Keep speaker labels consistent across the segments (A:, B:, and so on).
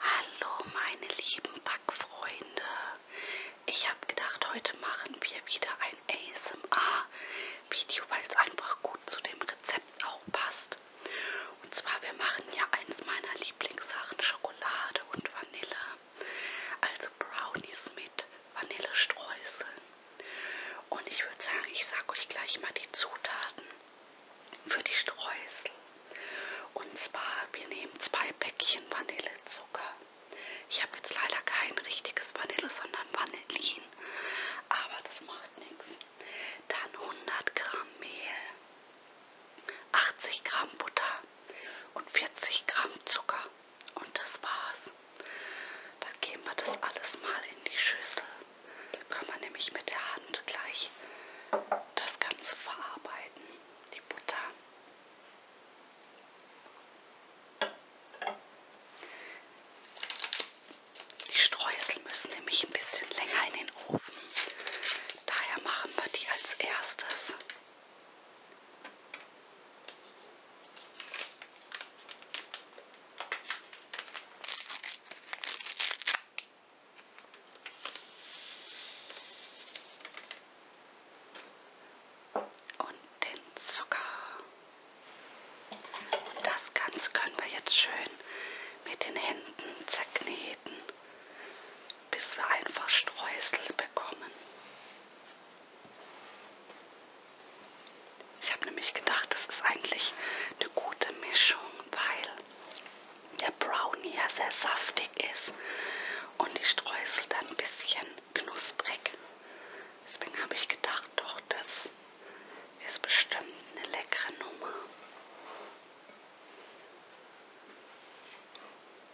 A: Hallo meine lieben Backfreunde. Ich habe gedacht, heute machen wir wieder ein ASMR-Video, weil es einfach gut zu dem Rezept auch passt. Und zwar, wir machen ja eins meiner Lieblingssachen, Schokolade und Vanille. Also Brownies mit Vanillestreuseln. Und ich würde sagen, ich sage euch gleich mal die Zutaten für die Streusel. Und zwar, wir nehmen zwei Päckchen Vanillezucker. Ich habe jetzt leider kein richtiges Vanille, sondern Vanillin, aber das macht nichts. Dann 100 Gramm Mehl, 80 Gramm Butter, und 40 Gramm Zucker. Und das war's. Dann geben wir das alles mal in die Schüssel. Dann können wir nämlich mit der Hand gleich das Ganze verarbeiten, die Butter. Die Streusel müssen nämlich ein bisschen länger in den Ofen. Daher machen wir die als erstes. Und den Zucker. Das Ganze können wir jetzt schön mit den Händen zerkneten bis wir einfach Streusel bekommen. Ich habe nämlich gedacht, das ist eigentlich eine gute Mischung, weil der Brownie ja sehr saftig ist und die Streusel dann ein bisschen knusprig. Deswegen habe ich gedacht, doch, das ist bestimmt eine leckere Nummer.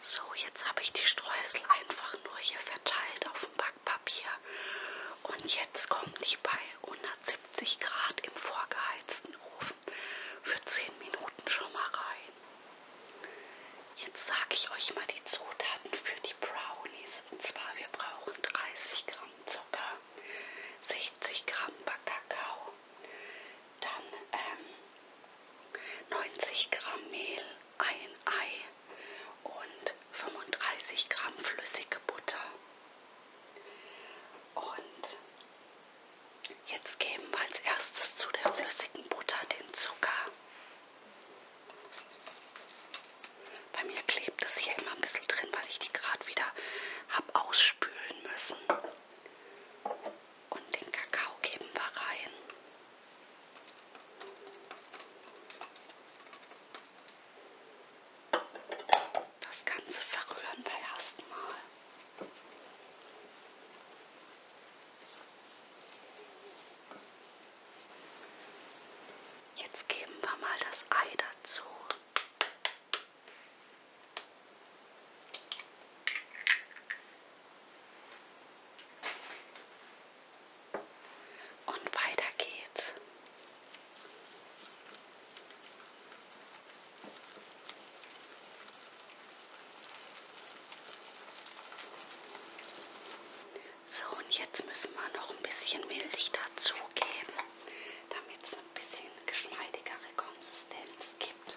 A: So, jetzt habe ich die Streusel einfach nur hier verteilt auf dem Backpapier. Und jetzt kommen die bei 170 Grad im vorgeheizten Ofen für 10 Minuten schon mal rein. Jetzt sage ich euch mal die Zutaten für die Brownies. Und zwar, wir brauchen 30 Gramm Zucker, 60 Gramm Backkakao, dann ähm, 90 Gramm Mehl, ein Ei und 35 Gramm flüssige Butter. Und jetzt geben wir als erstes zu der flüssigen Butter den Zucker. Bei mir klebt es hier immer ein bisschen drin, weil ich die gerade wieder habe ausspülen müssen und den Kakao geben wir rein. Das Ganze verrühren wir erstmal. Jetzt geben wir mal das Ei dazu. Und weiter geht's. So, und jetzt müssen wir noch ein bisschen Milch dazugeben, damit es ein bisschen geschmeidigere Konsistenz gibt.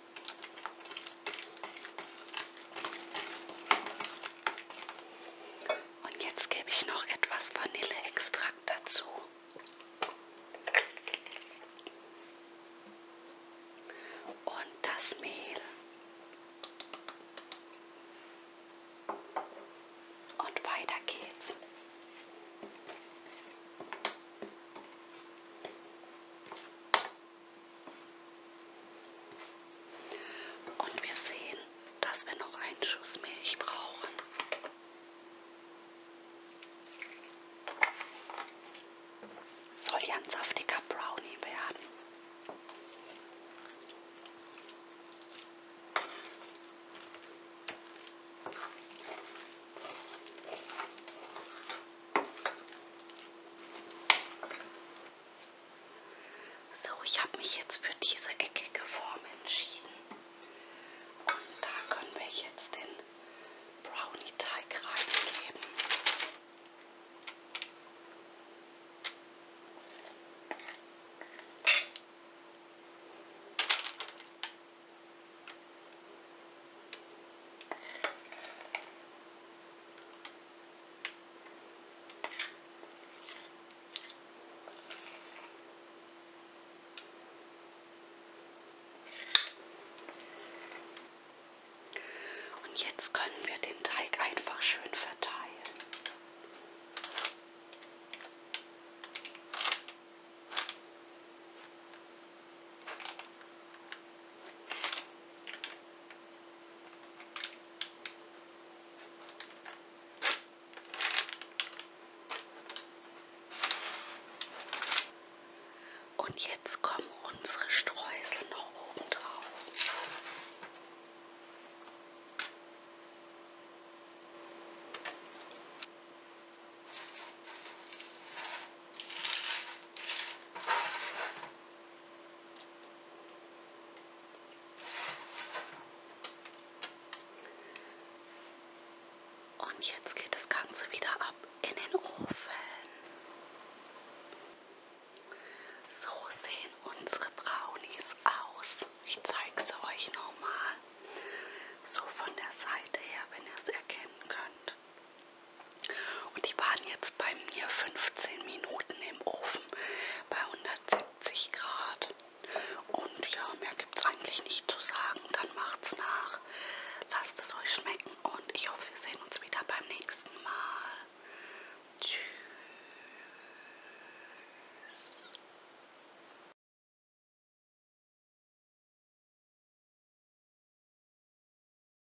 A: Und jetzt gebe ich noch etwas Vanilleextrakt dazu. Und das Mehl. Und weiter geht's. Und wir sehen, dass wir noch einen Schuss Milch brauchen. Soll ja ein saftiger Brownie werden. So, ich habe mich jetzt für diese eckige Form entschieden. Und da können wir jetzt den Brownie-Teig reingeben. Und jetzt können wir den Teig einfach schön verteilen. Und jetzt kommen unsere Streusel noch oben drauf. Und jetzt geht das Ganze wieder ab in den Ofen. So sehen unsere Brownies aus. Ich zeige sie euch nochmal. So von der Seite her, wenn ihr es erkennen könnt. Und die waren jetzt bei mir 15 Minuten im Ofen bei 170 Grad. Und ja, mehr gibt es eigentlich nicht zu sagen. Dann macht's nach. Lasst es euch schmecken und ich hoffe, wir sehen uns wieder beim nächsten Mal. Tschüss.